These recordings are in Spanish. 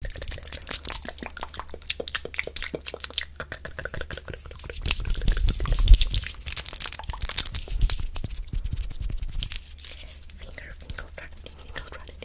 Finger, finger, fracting, finger, fracting.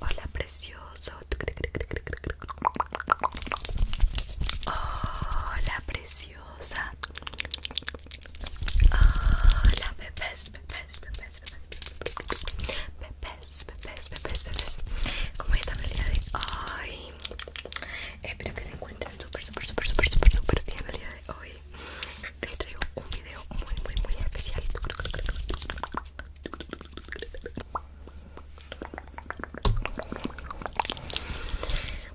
Hola, precioso. Hola, preciosa. Hola, pepes, pepes, bebés, bebés. de hoy. Espero que se encuentren súper, súper, súper, súper, súper, súper bien el día de hoy. Les traigo un video muy, muy, muy especial.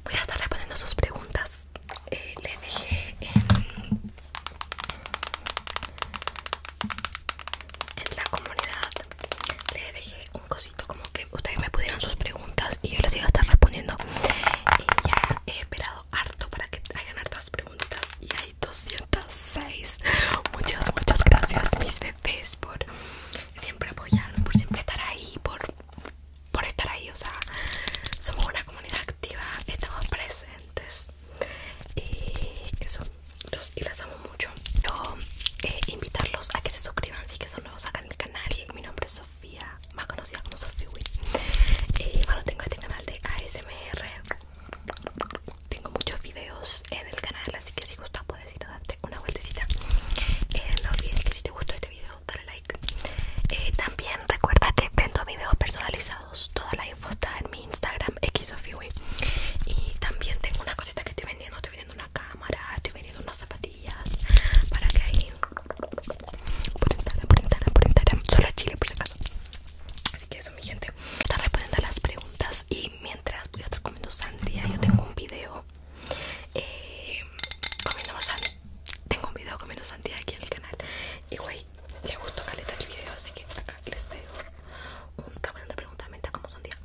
Voy a estar respondiendo sus preguntas. Eh, le dejé en, la comunidad. le dejé un cosito como que ustedes me pudieran sus preguntas y yo les iba a estar respondiendo. Y ya he esperado harto para que hayan hartas preguntas. 206 muchas muchas gracias mis bebés por siempre apoyar, por siempre estar ahí por por estar ahí o sea somos una comunidad activa estamos presentes y eso los y las amo mucho eh, invitarlos a que se suscriban si que son nuevos acá en el canal mi nombre es Sofía más conocida como Sofía Y eh, bueno tengo este canal de ASMR tengo muchos videos en eh, el canal, así que si gustas puedes ir a darte una vueltecita. Eh, no olvides que si te gustó este video, dale like. Eh, también recuerda que tengo videos personalizados. Toda la info está en mi Instagram, xofiwi. Y también tengo unas cositas que estoy vendiendo. Estoy vendiendo una cámara, estoy vendiendo unas zapatillas. Para que ahí... Por Instagram, por Instagram, por Instagram. Solo Chile, por si acaso. Así que mi gente Está respondiendo las preguntas y mientras voy a estar comiendo sandía Yo tengo un video eh, comiendo sandía Tengo un video comiendo sandía aquí en el canal Y güey, le gustó caleta el video Así que acá les dejo un respondiendo de preguntas mientras como sandía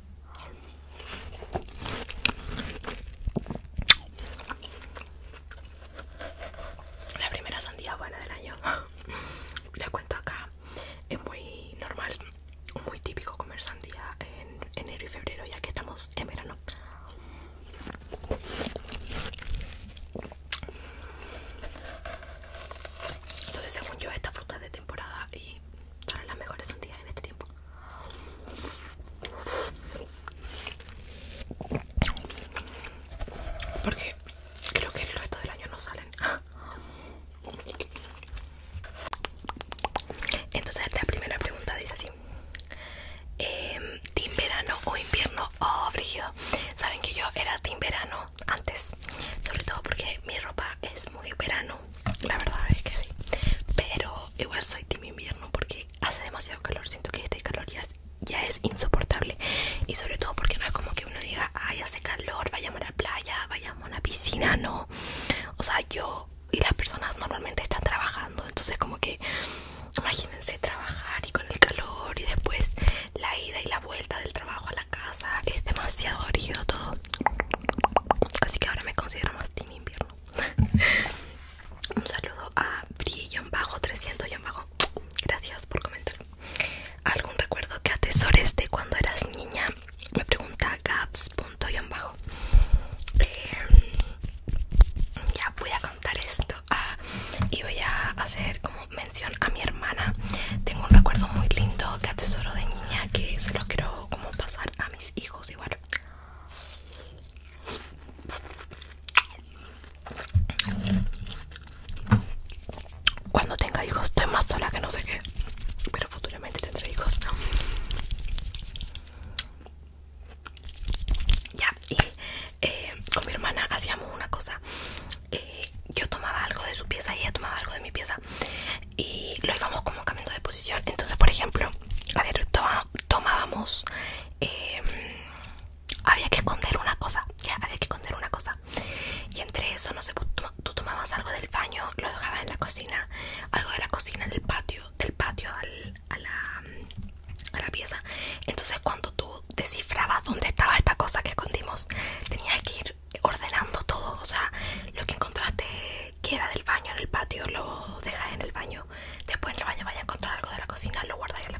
la primera sandía buena del año les cuento acá es muy normal, muy típico comer sandía en enero y febrero ya que estamos en verano. Entonces según yo esta fruta es de temporada y son las mejores sandías en este tiempo. qué Creo que el resto del año no salen. Ah. Entonces la primera pregunta dice así. Em, team verano o invierno o oh, frígido? saben que yo era team verano antes sobre todo porque mi ropa es muy verano la verdad es que sí pero igual soy team invierno porque hace demasiado calor siento que estoy calor ya es insoportable y sobre todo porque no es como que uno diga ay hace calor vayamos a la playa vayamos a la piscina no o sea yo y las personas normalmente están trabajando entonces como que imagínense trabajar y con el calor y después la ida y la vuelta del trabajo a la casa es demasiado rígido todo así que ahora me considero más team invierno un saludo a bri bajo 300 en bajo gracias por comentar algún recuerdo que atesores de cuando eras niña me pregunta gaps punto y em, ya voy a contar esto ah, y voy a hacer como mención a mi hermana tengo un recuerdo muy lindo que atesoro de niña que se lo quiero como pasar a mis hijos igual cuando tenga hijos estoy más sola que no sé qué, pero futuramente tendré hijos. Ya, y eh, con mi hermana hacíamos una cosa. Eh, yo tomaba algo de su pieza y ella tomaba algo de mi pieza. Y lo íbamos como cambiando de posición. Entonces, por ejemplo, a ver, tomábamos em, había que esconder una cosa, ya había que esconder una cosa. Y entre eso, no sé, pues, tú, tomabas algo del baño, lo dejabas en la cocina, algo de la cocina en el patio, del patio a, la, a la pieza. Entonces, cuando tú descifrabas dónde estaba esta cosa que escondimos, tenías que ir ordenando todo, o sea, lo que encontraste que era del baño en el patio, lo dejas en el baño, después en el baño vaya a encontrar algo de la cocina, lo guardas en la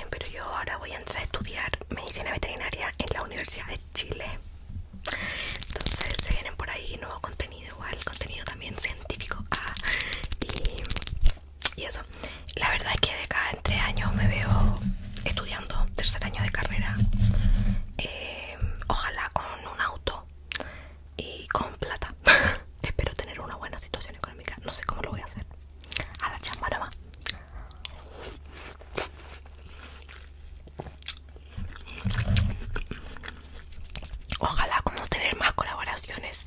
pero yo ahora voy a entrar a estudiar medicina veterinaria en la Universidad de Chile. Entonces se vienen por ahí nuevo contenido, igual contenido también científico. Ah, y, eso, la verdad es que de cada tres años me veo estudiando, tercer año de carrera. Eh, ojalá con un auto y con plata. Espero tener una buena situación económica. No sé cómo lo voy a hacer a la Ojalá como tener más colaboraciones.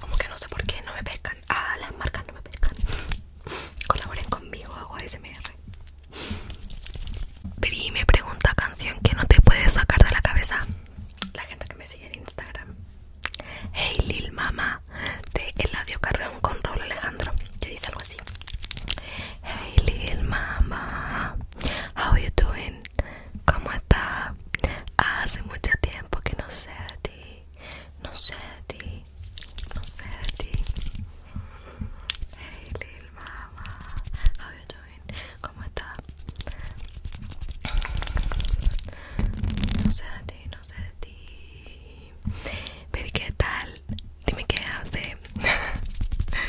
Como que no sé por qué no me pescan. Ah, las marcas no me pescan. Colaboren conmigo, hago ASMR. Pri me pregunta canción que no te puedes sacar de la cabeza. La gente que me sigue en Instagram Hey Lil Mama de Eladio Carreón con Raúl Alejandro que dice algo así Hey Lil Mama How you doing? ¿Cómo está? Hace mucho tiempo que no sé de ti No sé de ti No sé de ti Hey Lil Mama How you doing? ¿Cómo está? No sé de ti, no sé de ti. Baby, ¿qué tal? Dime qué hace. Me encanta.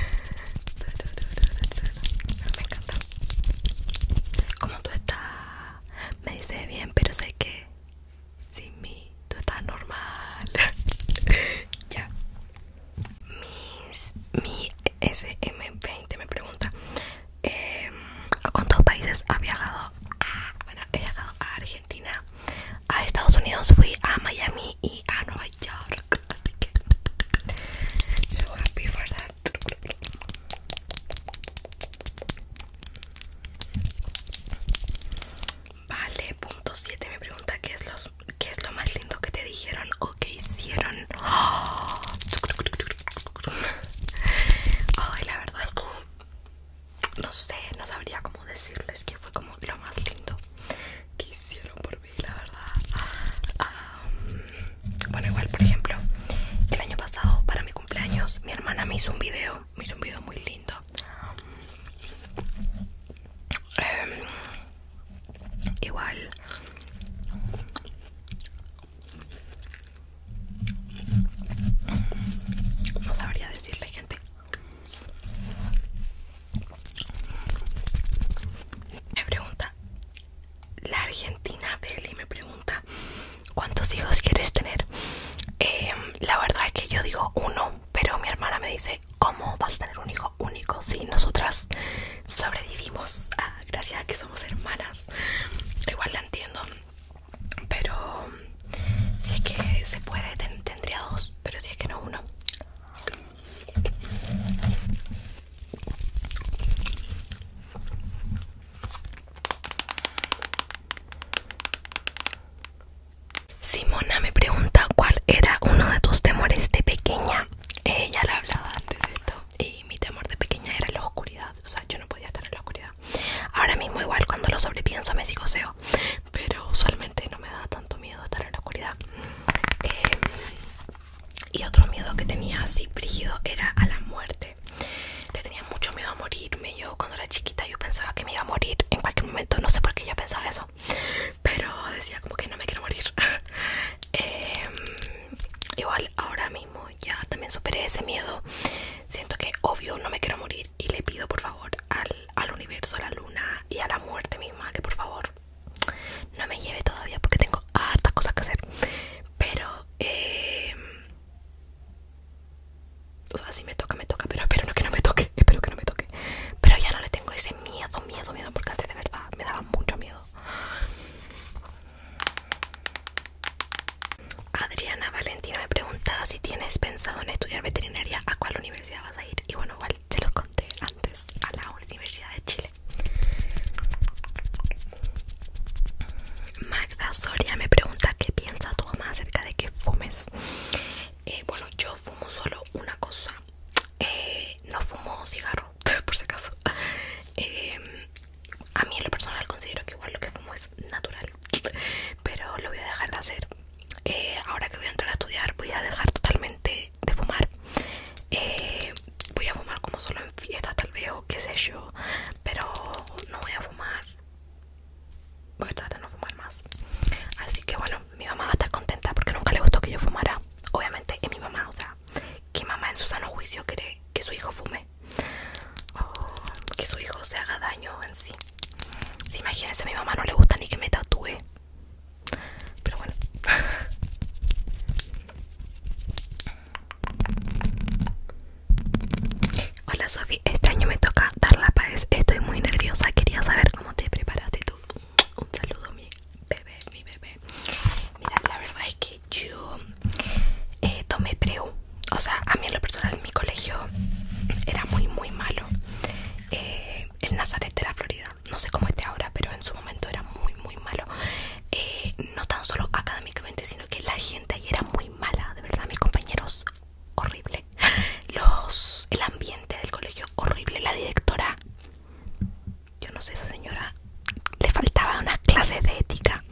¿Cómo tú estás? Me dice bien, pero sé que sin mi tú estás normal. ya. mi SM20 me pregunta Em, con a cuántos países viajado bueno he viajado a Argentina a Estados Unidos fui a Miami y a Nueva York así que so happy for that vale punto 7 me pregunta qué es los es lo más lindo que te dijeron o que hicieron ¡Ah! Ay, la verdad, no sé, no sabría cómo decirles que fue como lo más lindo que hicieron por mí, la verdad. Ah, bueno, igual, por ejemplo, el año pasado para mi cumpleaños, mi hermana me hizo un video, me hizo un video muy lindo. Em, igual no sabría decirle gente. Me pregunta la Argentina Deli me pregunta cuántos hijos quieres tener. Em, la verdad es que yo digo uno, pero mi hermana me dice cómo vas a tener un hijo único si nosotras sobrevivimos. Ah, gracias a que somos hermanas igual la entiendo pero si es que se puede tendría dos pero si es que no uno Simona me pregunta cuál era uno de tus temores de pequeña. Ella le hablaba antes de esto. Y mi temor de pequeña era la oscuridad o sea, yo no podía estar en la oscuridad. Ahora mismo igual cuando lo sobrepienso me psicoseo, pero usualmente no me da tanto miedo estar en la oscuridad. Eh, y otro miedo que tenía así frígido era a la muerte. Le tenía mucho miedo a morirme. Yo cuando era chiquita yo pensaba que me iba a morir en cualquier momento, no sé por qué yo pensaba eso, pero decía como que no me quiero morir. Em, igual ahora mismo ya también superé ese miedo siento que obvio no me quiero morir y le pido por favor al, universo, a la luna y a la muerte misma que por favor no me lleve todavía porque tengo hartas cosas que hacer pero em, o sea si me toca me toca pero espero no que no me toque espero que no me toque pero ya no le tengo ese miedo miedo miedo porque antes de verdad me daba mucho miedo Adriana Valentina me pregunta si tienes pensado en estudiar veterinaria, a cuál universidad vas a ir. Y bueno, igual se los conté antes, a la Universidad de Chile. Magda Soria me pregunta qué piensa tu mamá acerca de que fumes. Eh, bueno, yo fumo solo una cosa. Eh, no fumo cigarro por si acaso. Em, a mí en lo personal considero que igual lo que fumo es natural, pero lo voy a dejar de hacer. Eh, ahora que voy a entrar a estudiar voy a dejar totalmente de fumar. Eh, voy a fumar como solo en fiestas tal vez o qué sé yo, pero no voy a fumar. Voy a tratar de no fumar más. Así que bueno, mi mamá va a estar contenta porque nunca le gustó que yo fumara. Obviamente es mi mamá, o sea, que mamá en su sano juicio cree que su hijo fume oh, que su hijo se haga daño en sí. Si imagínense, a mi mamá no le gusta ni que me tatúe. Pero bueno. Hola Sofi, este año me toca dar la paz. Estoy muy nerviosa, quería saber cómo te preparaste tú. Un saludo, mi bebé, mi bebé. Mira, la verdad es que yo eh, tomé preu. O sea, a mí en lo personal mi colegio era muy, muy malo. Eh, el Nazaret de la Florida, no sé cómo esté ahora, pero en su momento era muy, muy malo. Eh, no tan solo académicamente, sino que la gente ahí era muy mala. De verdad, mis compañeros, horrible. Los, el ambiente del colegio, horrible. La directora yo no sé, esa señora le faltaba unas clases de ética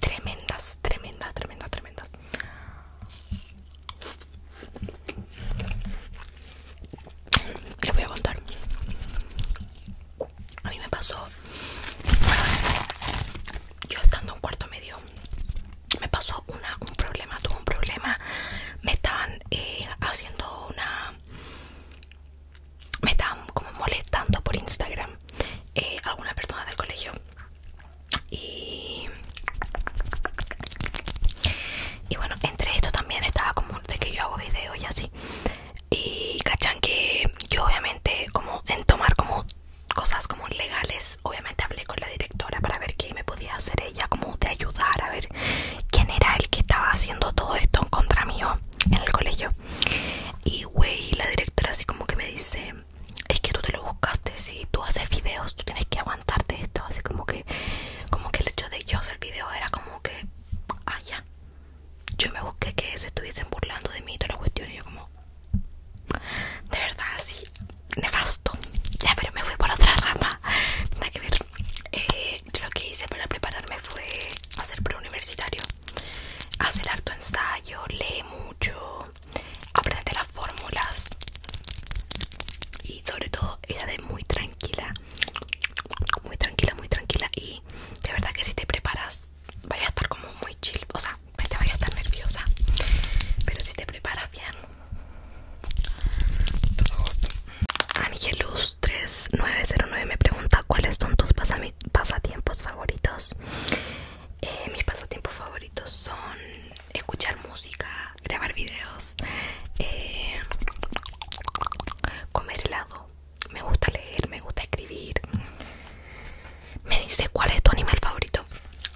tremendas, tremendas, tremendas, tremenda Les voy a contar. A mí me pasó, yo estando en cuarto medio, me pasó una, un problema, tuvo un problema, me estaban eh, haciendo una me estaban como molestando por Instagram alguna eh, algunas personas del colegio y, y bueno, entre esto también estaba como de que yo hago videos y así y cachan que yo obviamente como en tomar como cosas como legales obviamente hablé con la directora para ver qué me podía hacer ella como de ayudar a ver quién era el que estaba haciendo todo esto en contra mío en el colegio y güey la directora así como que me dice es que tú te lo buscaste si tú haces videos tú tienes que aguantarte esto así como que como que el hecho de yo hacer videos era como que ah ya yo me busqué que se estuviesen burlando de mí y la cuestión y yo como de verdad así nefasto ya pero me fui por otra rama que ver eh, lo que hice para prepararme fue hacer pre-universitario, hacer harto ensayo, leer mucho, aprender las fórmulas y sobre todo era de muy tranquila, muy tranquila, muy tranquila y de verdad que si te preparas vaya a estar como muy chill, o sea, te vaya a estar nerviosa, pero si te preparas bien. Anigelus 3909 me pregunta cuáles son tus pasatiempos favoritos. Eh, mis pasatiempos favoritos son escuchar música, grabar videos, eh, comer helado. Me gusta leer, me gusta escribir. Me dice cuál es tu animal favorito.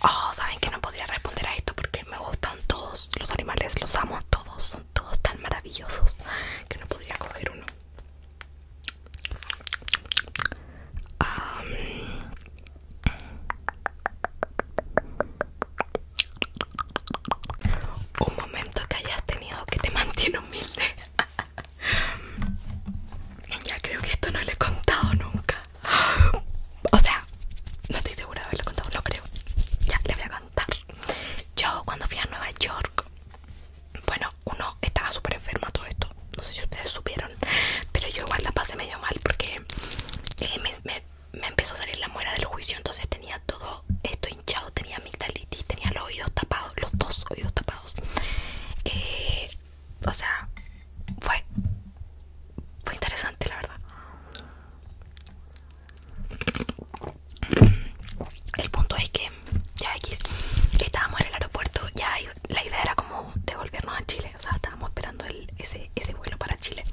Oh, saben que no podría responder a esto porque me gustan todos los animales, los amo a todos, son todos tan maravillosos que no podría coger uno. Um, un momento que hayas tenido que te mantiene humilde. ya creo que esto no lo he contado nunca. O sea, no estoy segura de haberlo contado, Lo creo. Ya le voy a contar. Yo cuando fui a Nueva York bueno, uno estaba súper enferma todo esto, no sé si ustedes supieron, pero yo igual la pasé medio mal porque eh, me, empezó a salir la muera del juicio, entonces tenía todo esto hinchado, tenía amigdalitis, tenía los oídos tapados, los dos oídos tapados. Eh, o sea, fue, fue interesante la verdad. El punto es que ya X estábamos en el aeropuerto, ya la idea era como devolvernos a Chile, o sea, estábamos esperando ese, ese vuelo para Chile.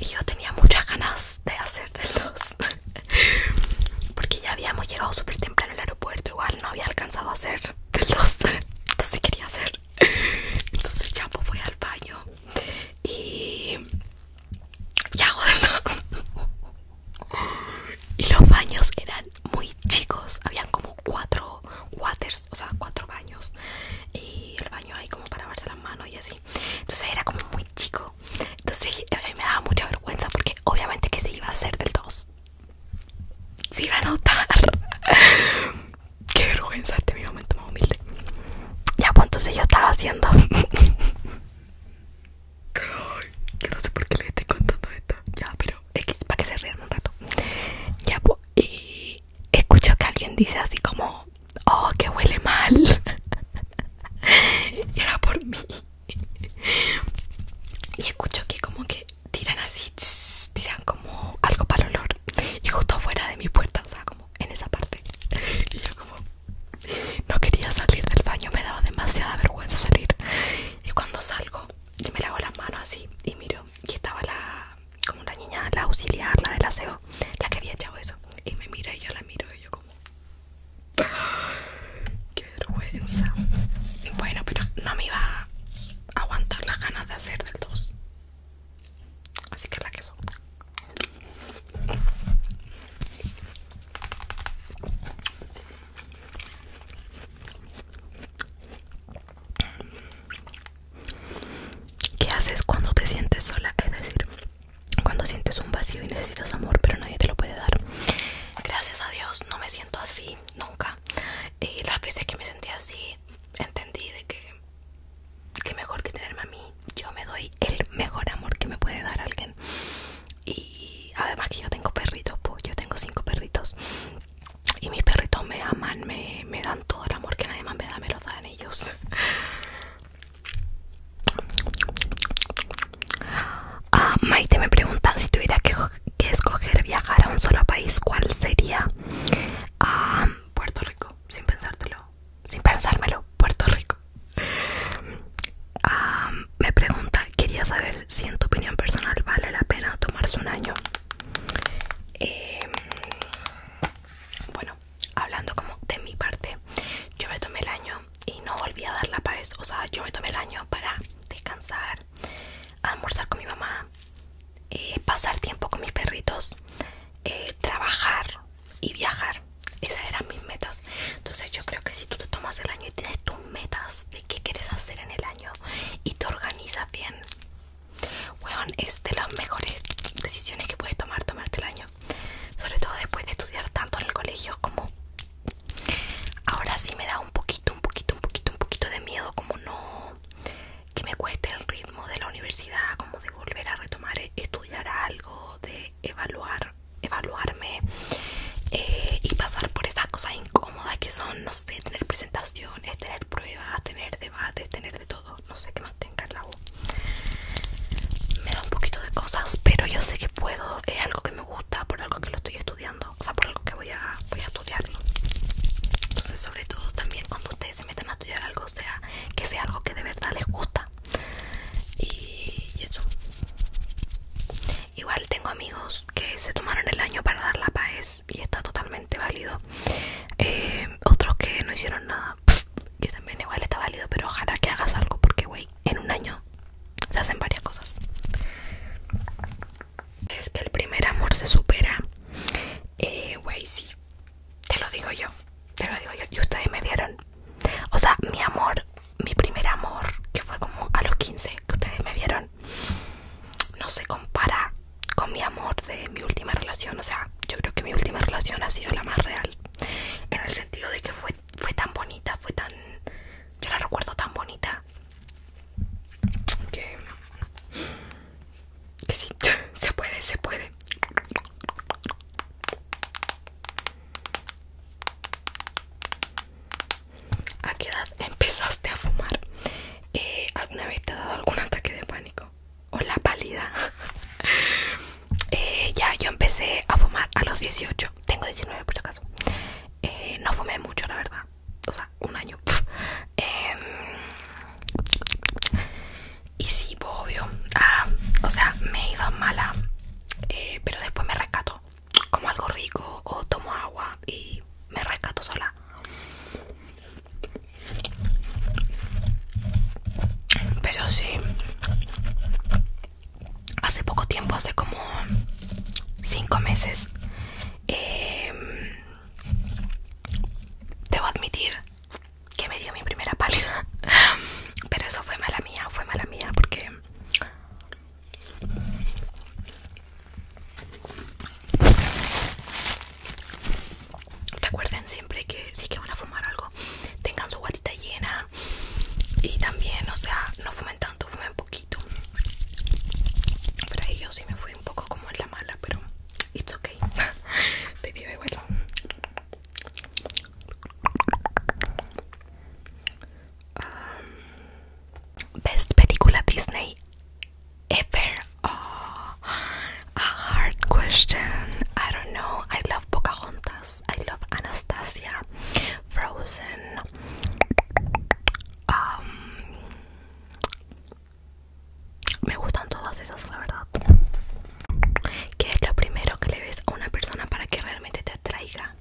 Y yo tenía muchas ganas de hacer del 2, porque ya habíamos llegado súper temprano al aeropuerto, igual no había alcanzado a hacer del 2, entonces quería hacer. Entonces ya pues fui al baño y ya bueno. y los baños eran muy chicos habían como cuatro waters o sea cuatro baños y el baño ahí como para lavarse las manos y así entonces era como muy chico entonces eh, a mí me daba mucha vergüenza porque obviamente que se iba a hacer del 2 se iba a notar qué vergüenza este mi momento más humilde ya pues entonces yo estaba haciendo Ay, yo no sé por qué le estoy contando esto. Ya, pero es para que se rían un rato. Ya, pues, y escucho que alguien dice así como, oh, que huele mal. y era por mí. y escucho que como que tiran así, tiran como algo para el olor. Y justo fuera de mi puerta, o sea, como en esa parte. y yo como, no quería salir del baño, me daba demasiada vergüenza salir. Y cuando salgo, me lavo las manos así y miro. Y estaba la, como una niña, la auxiliar, la del aseo, la que había echado eso. Y me mira y yo la miro y yo como... Ah, ¡Qué vergüenza! Bueno, pero no me iba a aguantar las ganas de hacer del 2. Así que la queso. ¿Qué haces cuando te sientes sola? Es decir, cuando sientes un vacío y necesitas amor, pero nadie te lo puede dar. Gracias a Dios no me siento así nunca. Y las veces que me sentí así, entendí de que, que mejor que tenerme a mí yo me doy el mejor amor que me puede dar alguien. Y además que yo tengo perritos, pues yo tengo cinco perritos. Y mis perritos me aman, me, dan todo el amor que nadie más me da, me lo dan ellos. Ah, Maite me preguntan si tuviera que, escoger viajar a un solo país, ¿cuál sería? a ah, Puerto Rico, sin pensártelo, sin pensármelo, Puerto Rico me pregunta quería saber si en tu opinión personal vale la pena tomarse un año em, bueno hablando como de mi parte yo me tomé el año y no volví a dar la paz o sea yo me tomé el año para descansar almorzar con mi mamá eh, pasar tiempo con mis perritos eh, trabajar y viajar. Esas eran mis metas. Entonces yo creo que si tú te tomas el año y tienes tus metas de qué quieres hacer en el año y te organizas bien, weón, es de las mejores decisiones que puedes tomar, tomarte el año. Sobre todo después de estudiar tanto en el colegio como ahora sí me da un poquito, un poquito, un poquito, un poquito de miedo como no que me cueste el ritmo de la universidad, como de volver a retomar estudiar algo, de evaluar, evaluarme eh, y pasar por esas cosas incómodas que son, no sé, tener presentaciones, tener pruebas, tener debates, tener de todo, no sé qué más tenga en la voz. Me da un poquito de cosas, pero yo sé que puedo, es algo que me gusta, por algo que lo estoy estudiando, o sea, por algo que voy a, voy a estudiarlo. Entonces, sobre todo también cuando ustedes se metan a estudiar algo, sea, que sea algo que de verdad les gusta y, eso igual tengo amigos que se tomaron el año para dar la paz y está totalmente válido eh, otros que no hicieron nada que también igual está válido pero ojalá que hagas algo porque güey en un año se hacen varias cosas es que el primer amor se supera eh, güey sí te lo digo yo te lo digo yo, y ustedes me vieron. O sea, mi amor, mi primer amor, que fue como a los 15, que ustedes me vieron, no se compara con mi amor de mi última relación. O sea, yo creo que mi última relación ha sido la más real. En el sentido de que fue, fue tan bonita, fue tan... Yo la recuerdo tan bonita. Que... Que sí, se puede, se puede. ¿A qué edad empezaste a fumar? Eh, ¿Alguna vez te ha dado algún ataque de pánico? ¿O la pálida? Eh, ya, yo empecé a fumar a los 18. Tengo 19 por si acaso. Eh, no fumé mucho, la verdad. O sea, un año. Em, y sí, obvio. Ah, o sea, me he ido mala eh, pero después me rescato como algo rico o tomo agua y me rescato sola pero sí hace poco tiempo hace como cinco meses em, debo admitir que me dio mi primera pálida. Pero eso fue mala mía, fue mala mía porque recuerden siempre que si es que van a fumar algo, tengan su guatita llena y también, o sea, no fumen tanto, fumen poquito. Para yo sí me fui un poco como en la mala, pero it's ok Te digo igual. Um, best película Disney ever. Oh, a hard question. I don't know. I love Pocahontas. I love Anastasia. Frozen. Um, me gustan todas esas, la verdad. ¿Qué es lo primero que le ves a una persona para que realmente te atraiga?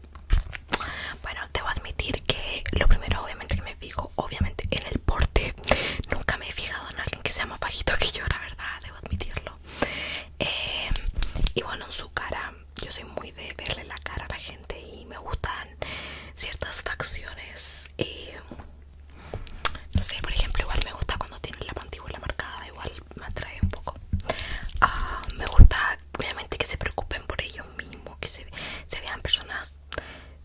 Bueno, debo admitir que lo primero obviamente que me fijo, obviamente en el porte. Nunca me he fijado en alguien que sea más bajito que yo, la verdad, debo admitirlo. Em, y bueno, en su cara, yo soy muy de verle la cara a la gente y me gustan ciertas facciones. Eh, no sé, por ejemplo, igual me gusta cuando tiene la mandíbula marcada, igual me atrae un poco ah, me gusta obviamente que se preocupen por ellos mismos que se, vean personas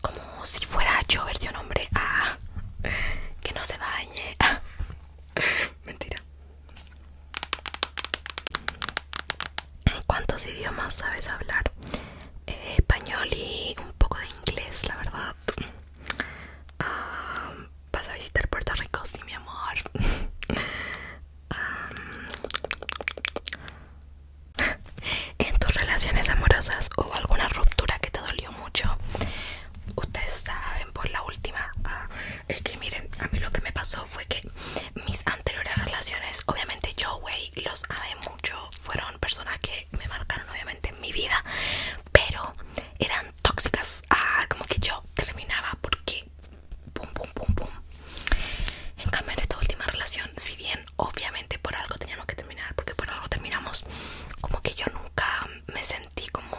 como si fuera yo un hombre nombre ah, que no se bañe mentira ¿Cuántos idiomas sabes hablar? Eh, español y un poco de inglés, la verdad. Ah, ¿Vas a visitar Puerto Rico? Sí, mi amor. Ah, en tus relaciones amorosas hubo alguna ruptura que te dolió mucho. Ustedes saben por la última. Ah, es que miren, a mí lo que me pasó fue que mis anteriores relaciones, obviamente yo, wey, los amé mucho. Fueron personas que me marcaron obviamente en mi vida. Pero eran tóxicas ah, como que yo terminaba porque en cambio en esta última relación si bien obviamente por algo teníamos que terminar porque por algo terminamos como que yo nunca me sentí como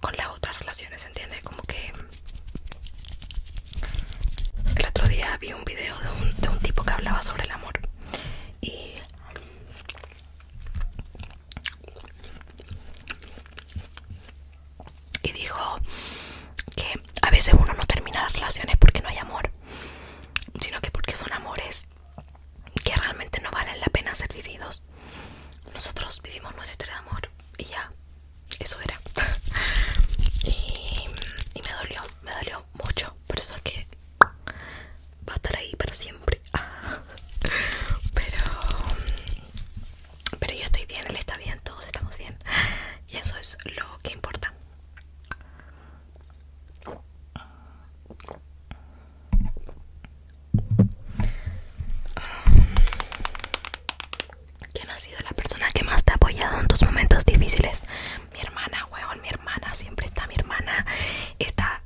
con las otras relaciones entiende como que el otro día vi un video de un, de un tipo que hablaba sobre el amor y y dijo que a veces uno no termina las relaciones porque no hay amor, sino que porque son amores que realmente no valen la pena ser vividos. Nosotros vivimos nuestra historia de amor y ya, eso era. y, me dolió, me dolió mucho. Por eso es que va a estar ahí para siempre. Pero pero yo estoy bien, él está bien, todos estamos bien. Y eso es lo que importa. Mm. ¿Quién ha sido la persona que más te ha apoyado en tus momentos difíciles? Mi hermana, weón, mi hermana, siempre está mi hermana. Está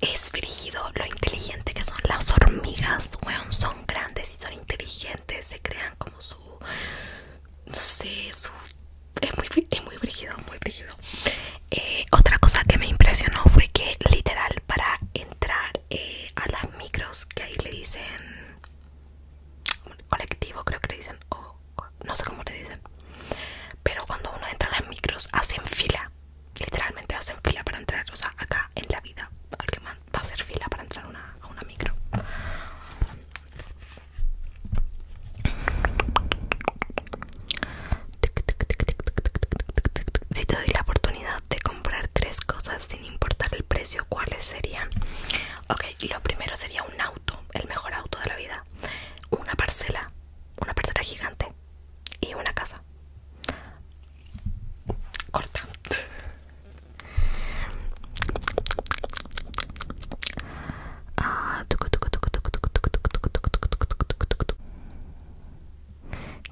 es frígido lo inteligente que son las hormigas, weón, son grandes y son inteligentes, se crean como su... no sé, su... es muy, es muy frígido, muy frígido. Eh, otra cosa que me impresionó fue que literal para entrar eh, a las micros, que ahí le dicen... colectivo creo que le dicen, o no sé cómo le dicen, pero cuando uno entra a las micros hacen fila Literalmente hacen fila para entrar. O sea, acá en la vida, al que va a hacer fila para entrar a una micro. Si te doy la oportunidad de comprar tres cosas sin importar el precio, ¿cuáles serían? Ok, lo primero sería un auto, el mejor auto de la vida, una parcela, una parcela gigante y una casa corta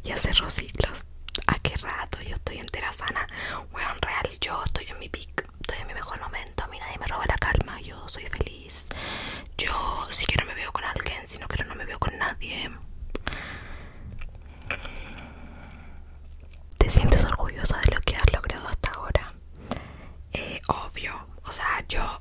ya cerró ciclos a ah, qué rato yo estoy entera sana weón real yo estoy en mi peak estoy en mi mejor momento a mí nadie me roba la calma yo soy feliz yo si quiero me veo con alguien sino que no no me veo con nadie. ¿Te sientes orgullosa de lo que has logrado hasta ahora? Eh, obvio, o sea, yo...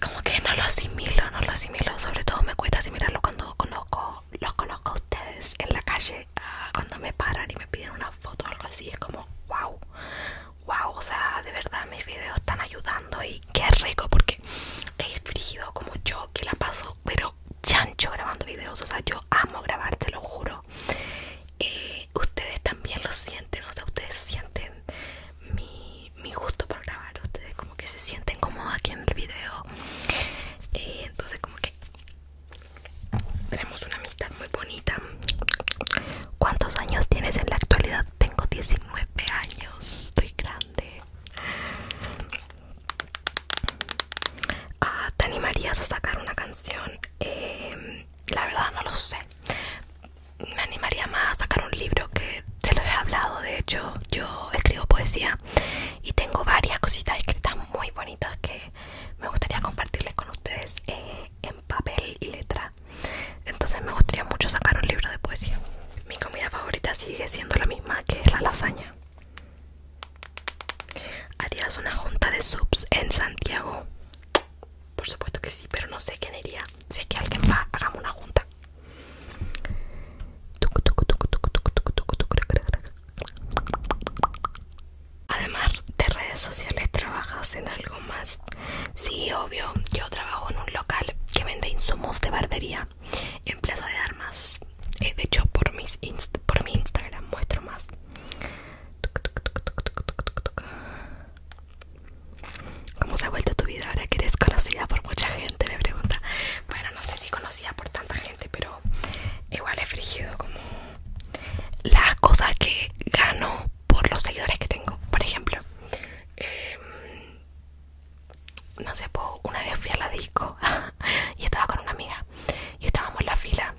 Como que no lo asimilo, no lo asimilo, sobre todo me cuesta asimilarlo cuando conozco, los conozco a ustedes en la calle, ah, cuando me paran y me piden una foto o algo así, es como, wow, wow, o sea, de verdad mis videos están ayudando y qué rico porque es frígido como yo que la paso, pero chancho grabando videos, o sea, yo amo grabar, te lo juro. Eh, ustedes también lo sienten, o sea, ustedes sienten mi, gusto para grabar, ustedes como que se sienten cómodos aquí en el video. Eh, entonces como que tenemos una muy bonita. ¿Cuántos años tienes en la actualidad? Tengo 19 años, estoy grande. Ah, ¿Te animarías a sacar una canción? Em, la verdad no lo sé. Me animaría más a sacar un libro que se lo he hablado. De hecho, yo escribo poesía y tengo varias cositas escritas muy bonitas que me gustaría compartirles con ustedes eh, en papel y letra entonces me gustaría mucho sacar un libro de poesía. Mi comida favorita sigue siendo la misma, que es la lasaña. ¿Harías una junta de subs en Santiago? Por supuesto que sí, pero no sé quién iría. Si es que alguien va, hagamos una junta. Además de redes sociales, ¿trabajas en algo más? Sí, obvio, yo trabajo en un local que vende insumos de barbería en Plaza de Armas. Eh, de hecho, por, mis por mi Instagram muestro más. ¿Cómo se ha vuelto tu vida ahora que eres conocida por mucha gente? Me pregunta. Bueno, no sé si conocida por tanta gente, pero igual he frigido como las cosas que gano por los seguidores que tengo. Por ejemplo, em, no sé, una vez fui a la disco y estaba con una amiga y estábamos en la fila.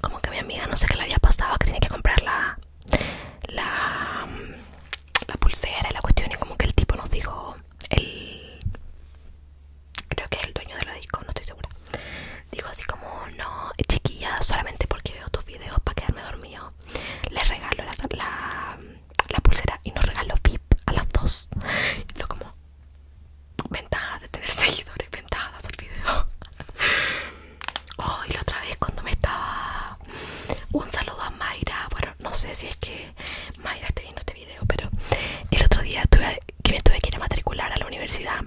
Como que mi amiga no sé qué le había pasado, que tenía que comprar la, la, la pulsera y la cuestión. Y como que el tipo nos dijo, el, creo que es el dueño de la disco, no estoy segura digo así como, no, chiquilla, solamente porque veo tus videos para quedarme dormido. Les regalo la, pulsera y nos regaló VIP a las dos. Y como, ventaja de tener seguidores, ventaja de hacer videos Oh, y la otra vez cuando me estaba... Un saludo a Mayra, bueno, no sé si es que Mayra esté viendo este video, pero el otro día que me tuve que ir a matricular a la universidad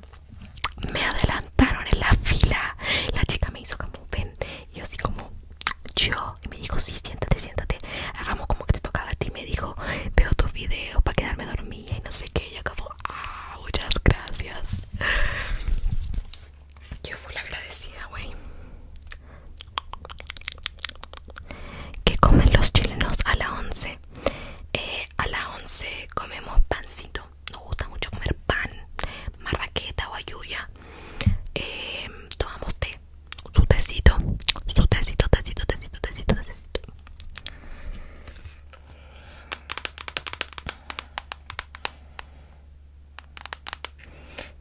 me adelantaron en la fila. La chica me hizo como ven. Y yo así como yo. Y me dijo, si siéntate, siéntate. Hagamos como que te tocaba a ti. Me dijo, veo tus videos para quedarme dormida y no sé qué. Y acabó. muchas gracias. Yo fui la agradecida, güey. ¿Qué comen los chilenos a la 11? Eh, a la 11 comemos pancito nos gusta mucho comer pan, marraqueta o ayuya. Em, tomamos té, su tecito, su tecito, tecito, tecito, tecito, tecito.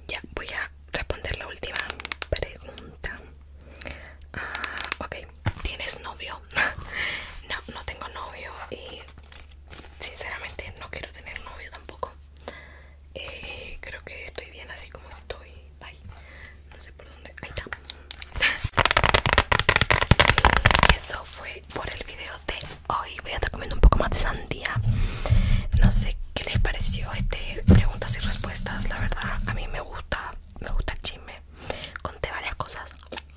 Ya, voy a responder la última pregunta. Ah, ok, ¿tienes novio? no, no tengo novio y sinceramente no quiero tener novio tampoco. Eh, creo que estoy bien así como estoy. no sé por dónde. Ahí eso fue por el video de hoy. Voy a estar comiendo un poco más de sandía. No sé qué les pareció este preguntas y respuestas. La verdad, a mí me gusta, me gusta el chisme. Conté varias cosas.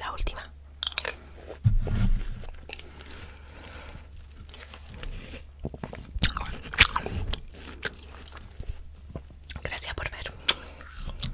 La última. Gracias por ver.